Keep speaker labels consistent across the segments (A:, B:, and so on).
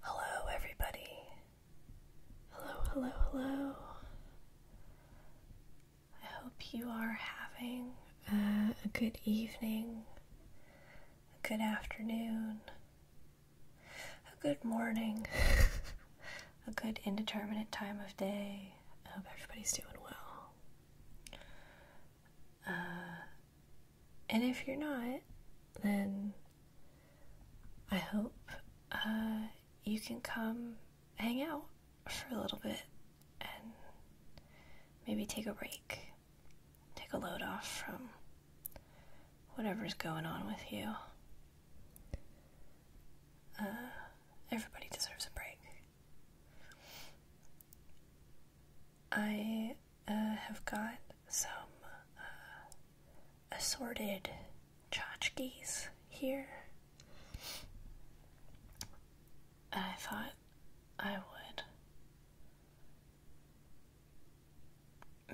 A: Hello, everybody. Hello, hello, hello. I hope you are having a good evening, a good afternoon, a good morning, a good indeterminate time of day. I hope everybody's doing well. Uh, and if you're not, then I hope uh, you can come hang out for a little bit and maybe take a break, take a load off from whatever's going on with you. Uh, everybody deserves a break. I have got some uh, assorted tchotchkes here. and I thought I would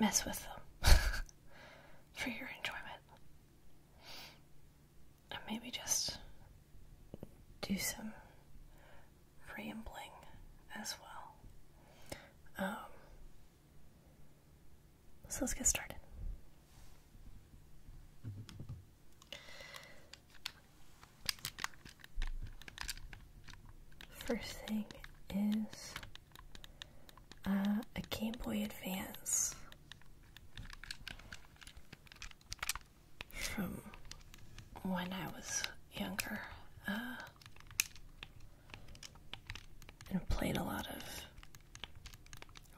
A: mess with them for your enjoyment. And maybe just do some rambling as well. Um, so let's get started. First thing is uh, a Game Boy Advance from when I was younger. Uh, and played a lot of.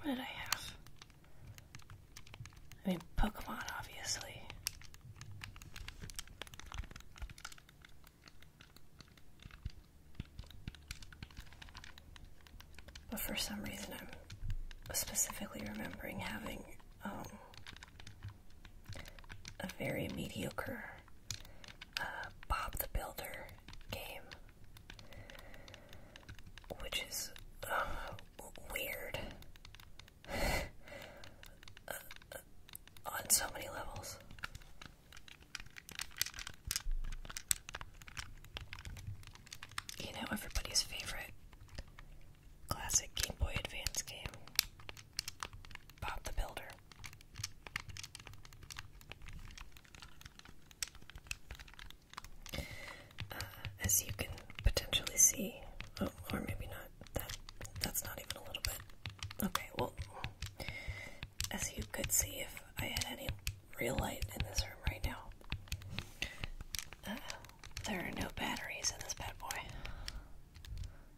A: What did I have? I mean, Pokemon, obviously. But for some reason, I'm specifically remembering having um, a very mediocre uh, Bob the Builder game, which is uh, weird uh, on so many levels. You know, everybody's favorite classic Game Boy Advance game. Bob the Builder. Uh, as you can potentially see, oh, or maybe not. That that's not even a little bit. Okay, well, as you could see, if I had any real light in this room right now, uh, there are no batteries in this bad boy.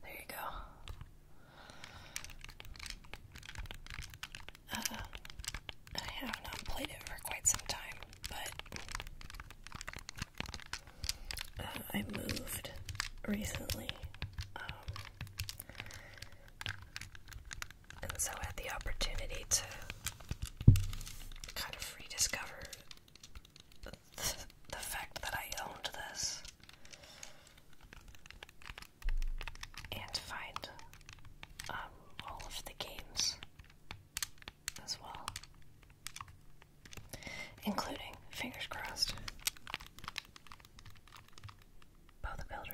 A: There you go. Uh, I have not played it for quite some time, but uh, I moved recently. Um, and so I had the opportunity to kind of rediscover the, fact that I owned this and find um, all of the games as well, including, fingers crossed, Bo the Builder.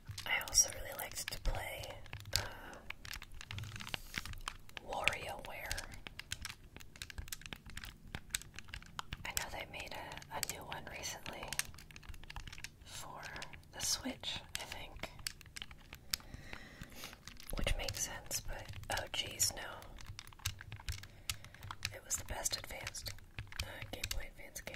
A: I also really liked to play uh, WarioWare. I know they made a, a new one recently for the Switch, I think. Which makes sense, but oh jeez, no. It was the best advanced uh, Game Boy Advance game.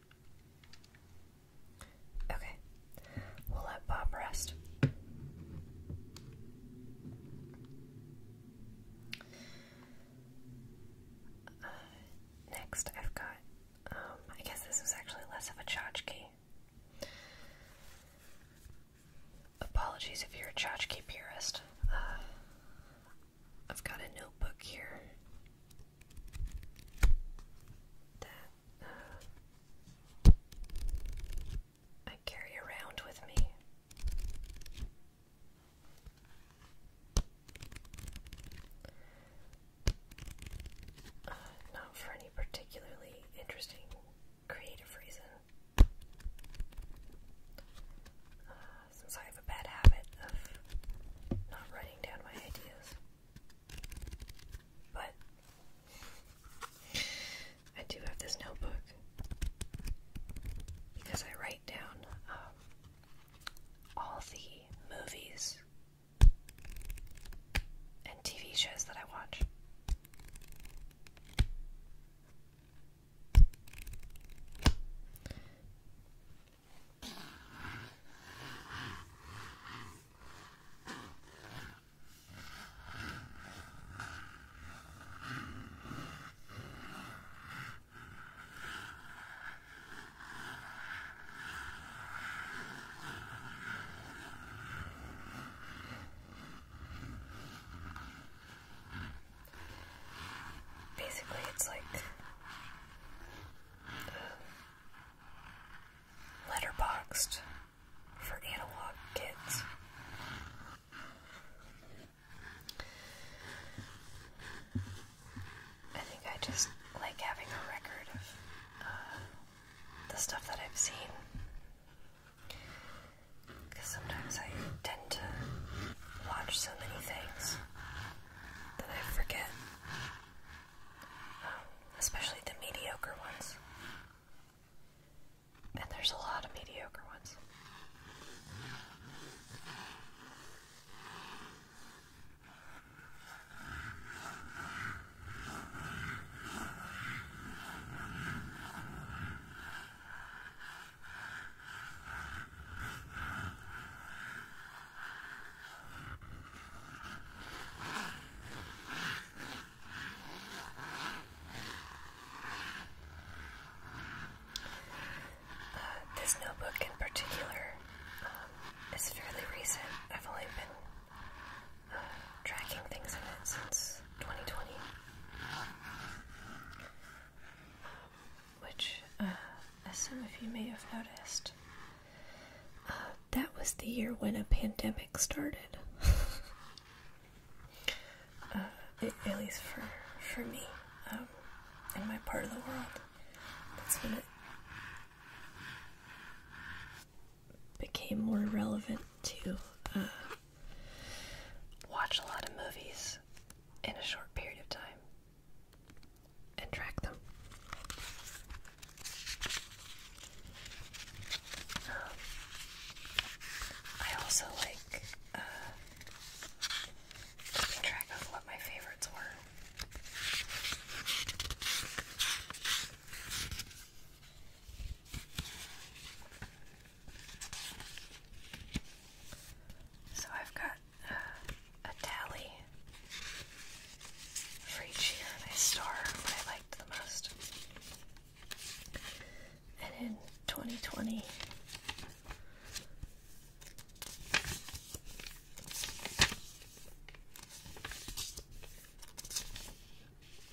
A: Okay, we'll let Bob rest. Uh, next, I've got, um, I guess this was actually less of a tchotchke. Apologies if you're a tchotchke purist. Uh, I've got a notebook here that I carry around with me. Uh, not for any particularly interesting creative reason. Uh, since I have a bad habit of not writing down my ideas. But I do have this notebook because I write down um, all the movies and TV shows that I watch. Basically, it's like letterboxed for analog kids. I think I just like having a record of uh, the stuff that I've seen. Because sometimes I tend to watch so many things that I forget especially the mediocre ones. And there's a lot of mediocre ones this notebook in particular um, is fairly recent. I've only been uh, tracking things in it since 2020, which, uh, as some of you may have noticed, uh, that was the year when a pandemic started. Uh, at least for for me, um, in my part of the world, that's when it became more relevant to uh, watch a lot of movies in a short period of time and track them. I also like uh, track of what my favorites were. So I've got uh, a tally for each year, and I star what I the most. And in 2020,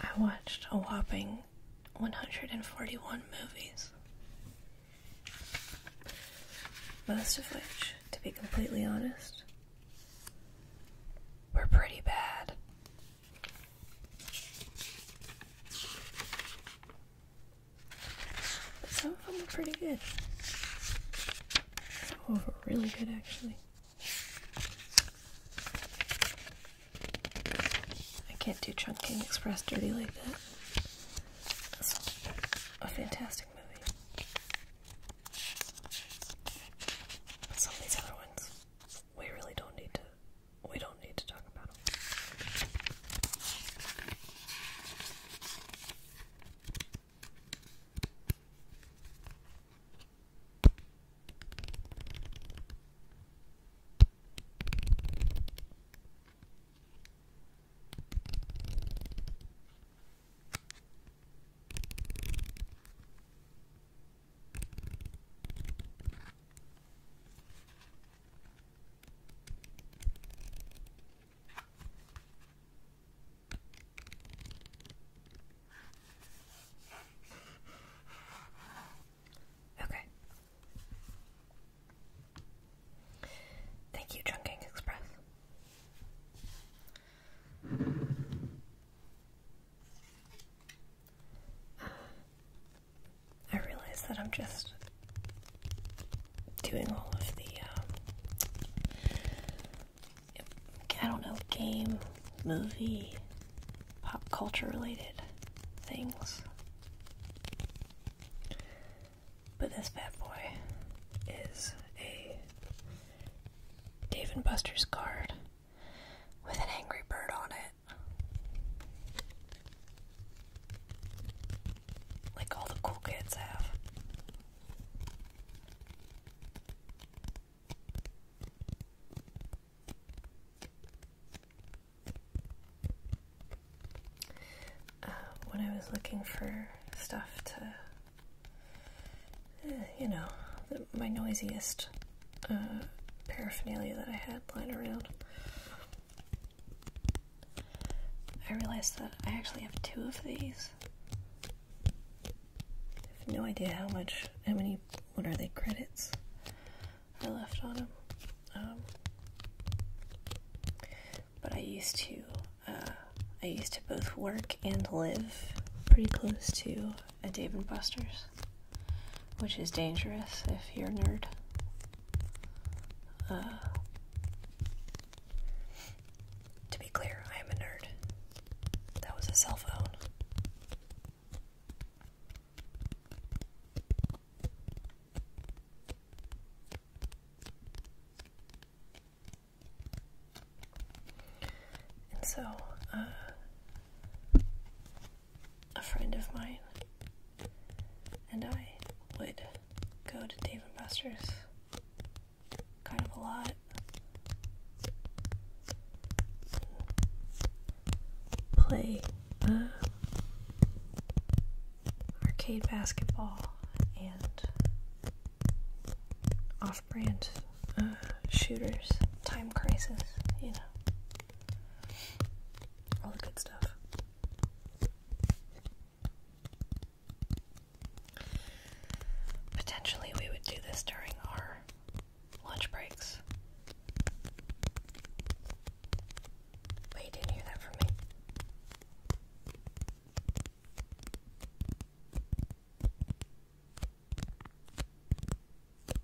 A: I watched a whopping 141 movies. Most of which, to be completely honest, we're pretty bad. some of them are pretty good. Some of them are really good, actually. I can't do Chunking Express dirty like that. a fantastic movie. some of these other ones we really don't need to we don't need to talk about it. Okay. Thank you, Chunking Express. I realize that I'm just doing all of the, um, I don't know, game, movie, pop culture related things. But this bad boy is a Dave and Buster's card with an angry bird on it. Like all the cool kids have. Uh, when I was looking for stuff to you know, my noisiest uh, paraphernalia that I had lying around. I realized that I actually have two of these. I have no idea how much, how many, what are they, credits I left on them. Um, but I used to, uh, I used to both work and live pretty close to a Dave and Buster's, which is dangerous if you're a nerd. Uh, to be clear, I am a nerd. That was a cell phone. And so, uh, a friend of mine and I would go to Dave and Buster's kind of a lot. Play uh, arcade basketball and off brand uh, shooters, time crisis, you know, all the good stuff. Potentially, we would do this during our lunch breaks. But you didn't hear that from me.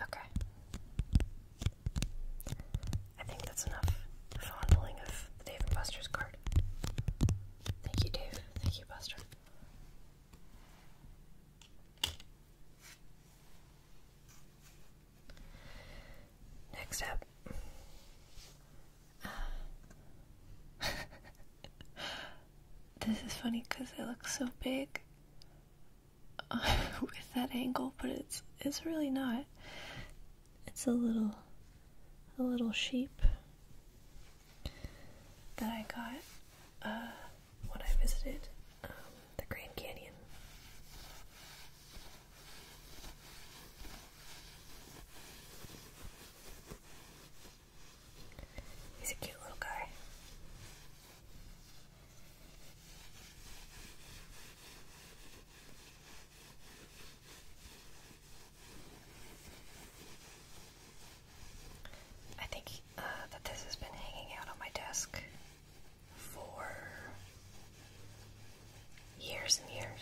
A: Okay. I think that's enough fondling of the Dave and Buster's card. Thank you, Dave. Thank you, Buster. Next up. Uh, this is funny because it looks so big with that angle, but it's it's really not. It's a little a little sheep that I got uh, when I visited um, the Grand Canyon. He's a cute little guy. I think uh, that this has been hanging out on my desk for years and years.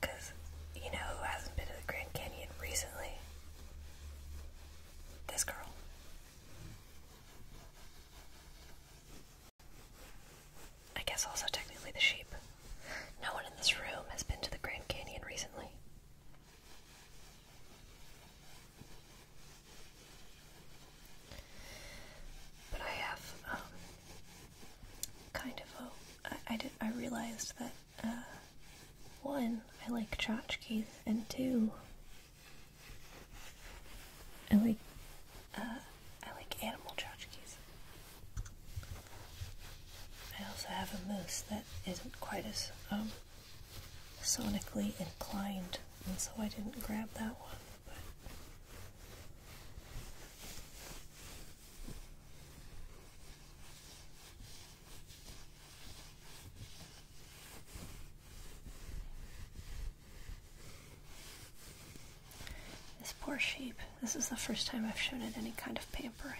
A: Because, you know, who hasn't been to the Grand Canyon recently? This girl. I guess also technically the sheep. No one in this room has been to the Grand Canyon recently. But I have um, kind of a. I, I, did, I realized that uh, one, I like tchotchkes, and two, I like uh, I like animal tchotchkes. I also have a moose that isn't quite as um, sonically inclined and so I didn't grab that one. this poor sheep, this is the first time I've shown it any kind of pampering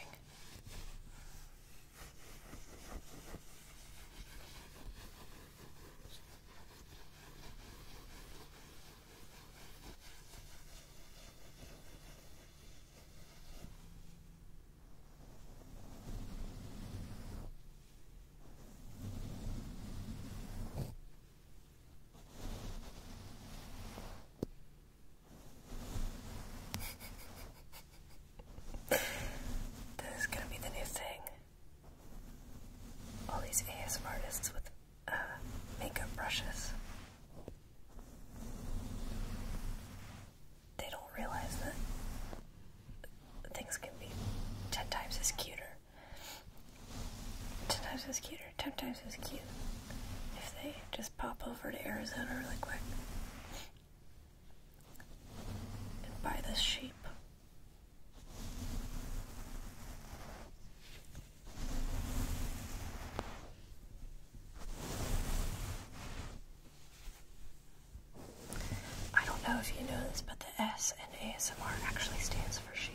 A: this is gonna be the new thing all these ASM artists with uh, makeup brushes. They don't realize that things can be ten times as cuter. Ten times as cuter, ten times as cute. If they just pop over to Arizona really quick and buy this sheep I don't know if you know this, but the S in ASMR actually stands for sheep.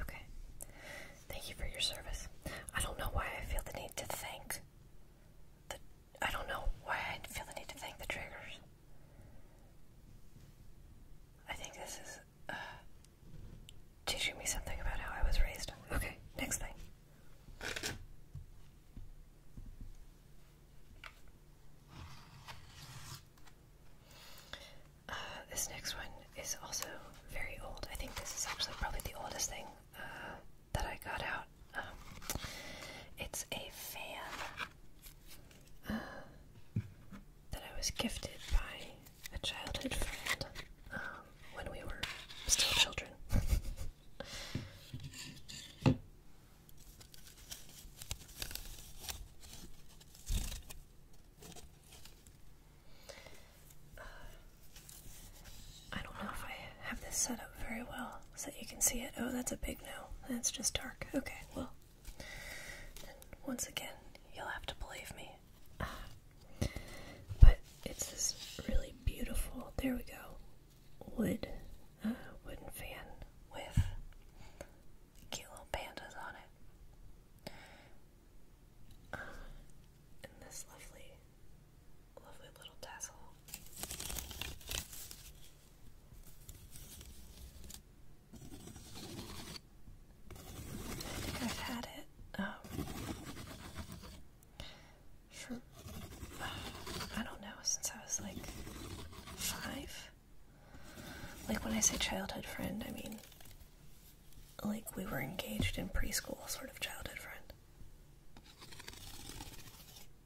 A: Okay. Thank you for your service. I don't know why I feel the need to thank the I don't know why I feel the need to thank the triggers. I think this is uh, teaching me something about how I was raised. Okay, next thing. Uh, this next one is also very old. I think this is actually probably the oldest thing uh, that I got out um, it's a fan uh, that I was gifted by a childhood friend um, when we were still children. Uh, I don't know if I have this set up very well so you can see it. Oh, that's a big no. That's just dark. Okay, well, once again, you'll have to believe me. Ah. but it's this really beautiful, there we go, wood, uh, wooden fan with cute little pandas on it. Ah, and this lovely, lovely little tassel. I've had it. Um, for I don't know since I was like five. Like when I say childhood friend, I mean like we were engaged in preschool, sort of childhood friend.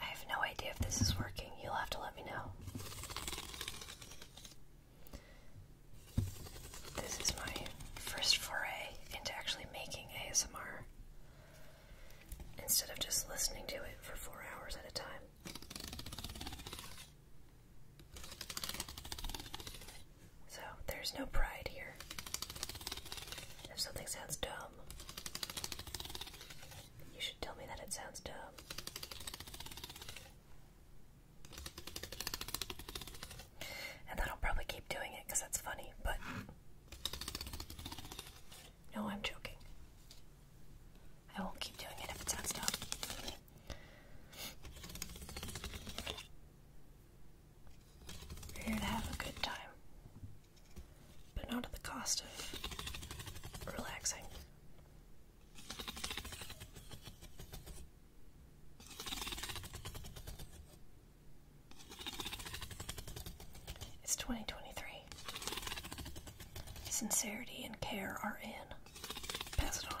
A: I have no idea if this is working. You'll have to let me know. This is my first foray into actually making ASMR instead of just listening to it for four hours at a time. So, there's no pride here. If something sounds dumb, you should tell me that it sounds dumb. And then will probably keep doing it because that's funny, but no, I'm joking. I won't keep doing it if it's on stop. We're here to have a good time, but not at the cost of relaxing. It's 2023. Sincerity and care are in. Pass it on.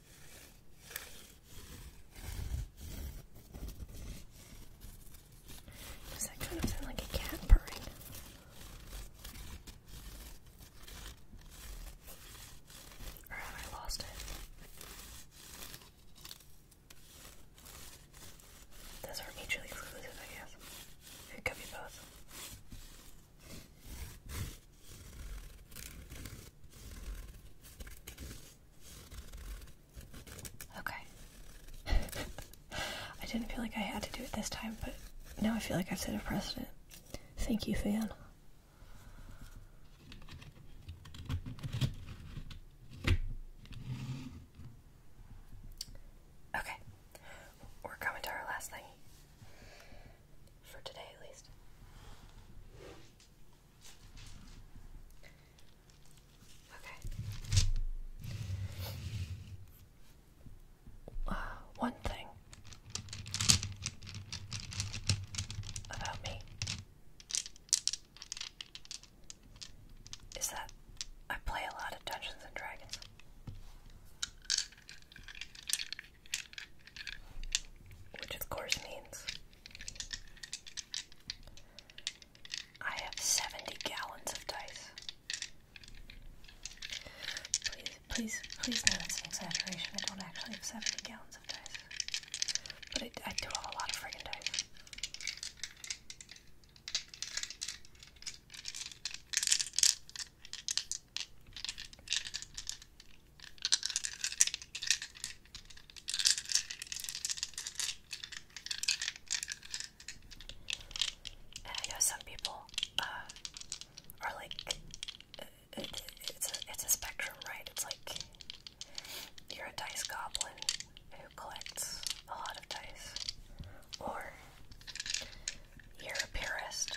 A: Does that kind of sound like a cat purring? Or have I lost it? Those are mutually exclusive, I guess. It could be both. Okay. I didn't feel like I had to do it this time, but now I feel like I've set pressed it. Thank you, fan. Okay. We're coming to our last thing. For today, at least. Okay. Uh, one thing about me is that I play a lot of Dungeons and Dragons. Which, of course, means I have 70 gallons of dice. Please, please, please know that's an exaggeration. I don't actually have 70 gallons of dice. But I, I do have a lot of friggin' dice. And know some people uh, are like, uh, it's, a, it's a spectrum, right? It's like you're a dice goblin who collects a lot of dice, or you're a purist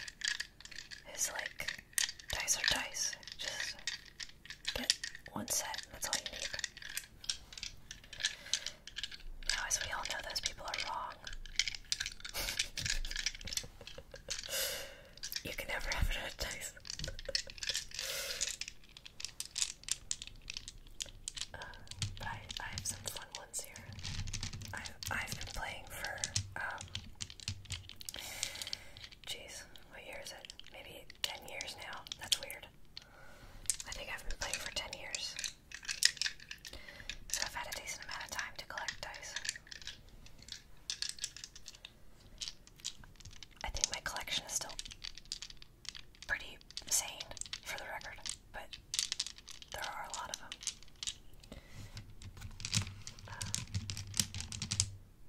A: who's like, dice are dice, just Get one set, that's all you need. Now, as we all know, those people are wrong. you can never have another dice. Uh, but I, I have some fun ones here. I've, I've been playing for, um, Jeez, what year is it? Maybe 10 years now. That's weird. I think I've been playing for 10 years. So I've had a decent amount of time to collect dice. I think my collection is still pretty sane, for the record, but there are a lot of them. Uh,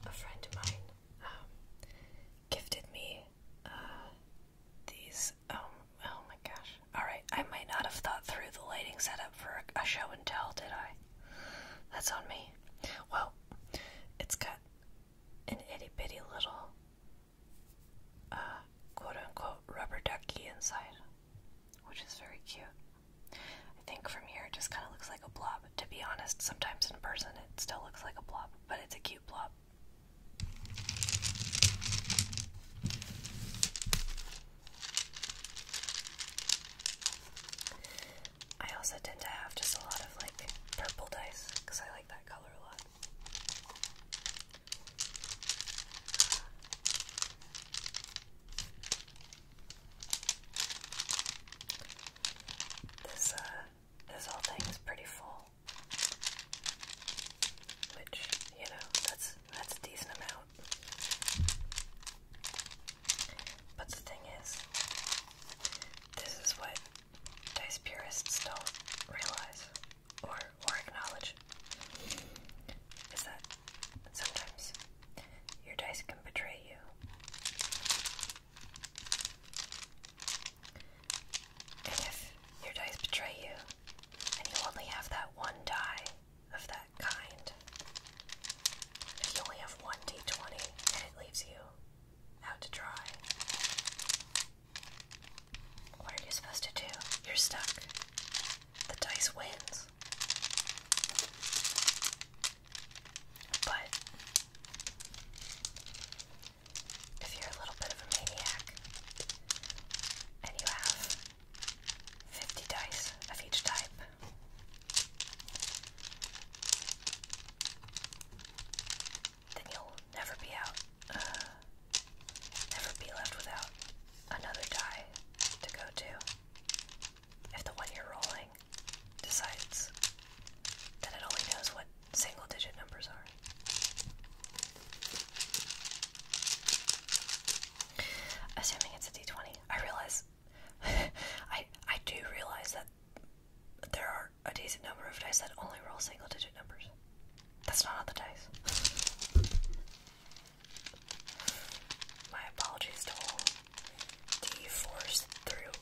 A: a friend of mine um, gifted me uh, these. Oh, oh, my gosh! All right, I might not have thought through the lighting setup for a show and tell, did I? That's on me. Well, it's got an itty bitty little uh, quote unquote rubber ducky inside, which is very cute. I think from here it just kind of looks like a blob. To be honest, sometimes in person it still looks like a blob, but it's a cute blob. I also tend to have just a lot of like purple dice because I like that color a lot. This uh, this whole thing is pretty full. Which, you know, that's that's a decent amount. But the thing is, this is what dice purists don't realize or or acknowledge. Is that sometimes your dice can betray you. And if your dice betray you, and you only have that one die of that kind, if you only have one d20 and it leaves you out to dry, what are you supposed to do? You're stuck. The dice wins. But if you're a little bit of a maniac and you have 50 dice of each type, then you'll never be out, uh, never be left without another die to go to if the one you're rolling decides that it only knows what single digit numbers are. Assuming it's a d20, I realize I I do realize that there are a decent number of dice that only roll single digit numbers. That's not on the dice. My apologies to all D force through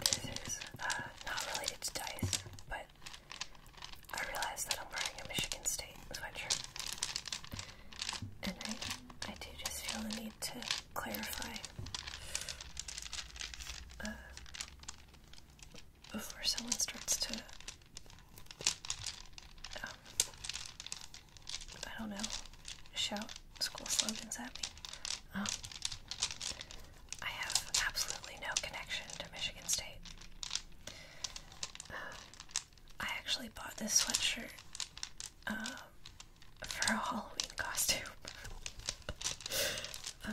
A: This is uh, not related to dice, but I realized that I'm wearing a Michigan State sweatshirt. And I, I do just feel the need to clarify uh, before someone starts to um, I don't know, shout school slogans at me. Um, I have absolutely no connection to Michigan State. I actually bought this sweatshirt um, for a Halloween costume. Uh,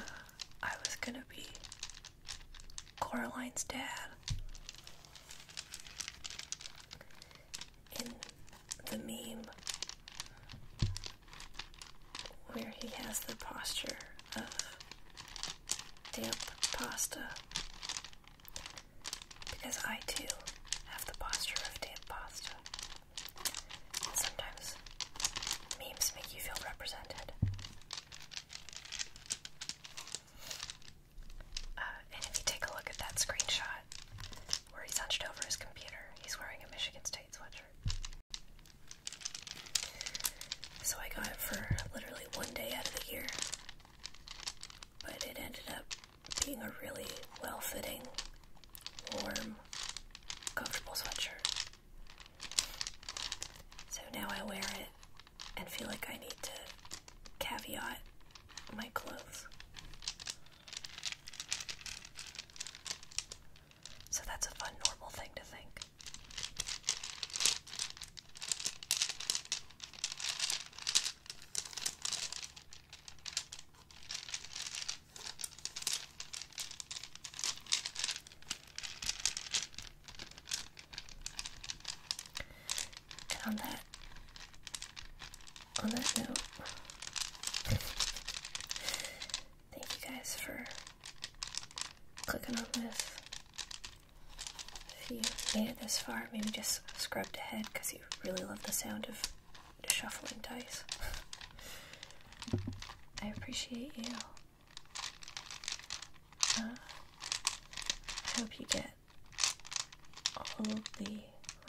A: I was gonna be Coraline's dad in the meme where he has the posture of damp pasta. Because I too have the posture of damp pasta. sometimes memes make you feel represented. Uh, and if you take a look at that screenshot where he's hunched over his computer, he's wearing a Michigan State sweatshirt. So I got it for literally one day out of the year, but it ended up being a really well fitting, warm, comfortable sweatshirt. So now I wear it and feel like I need to caveat my clothes. So that's a fun, normal thing to think. And on that on that note, thank you guys for clicking on this. If you made it this far, maybe just scrubbed ahead because you really love the sound of shuffling dice. I appreciate you. Uh, I hope you get all the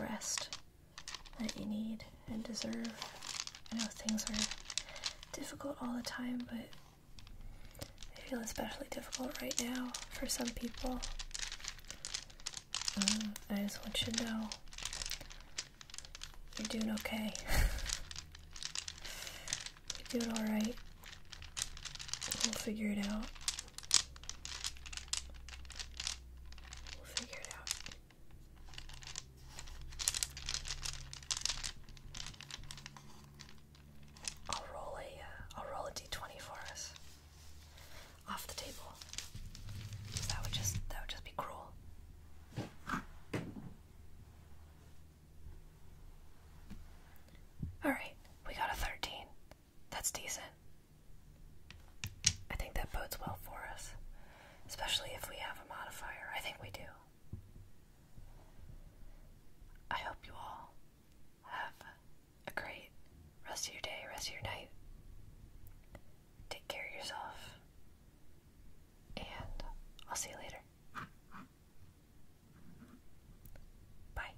A: rest that you need and deserve. I know things are difficult all the time, but they feel especially difficult right now for some people. Um, I just want you to know you're doing okay. you're doing alright. We'll figure it out. We'll figure it out. I'll roll a, will uh, roll a d20 for us. Off the table. That would just, that would just be cruel. Alright, we got a 13. That's decent. I think that bodes well for us, especially if we have a modifier. I think we do. I hope you all have a great rest of your day, rest of your night. Take care of yourself, and I'll see you later. Bye.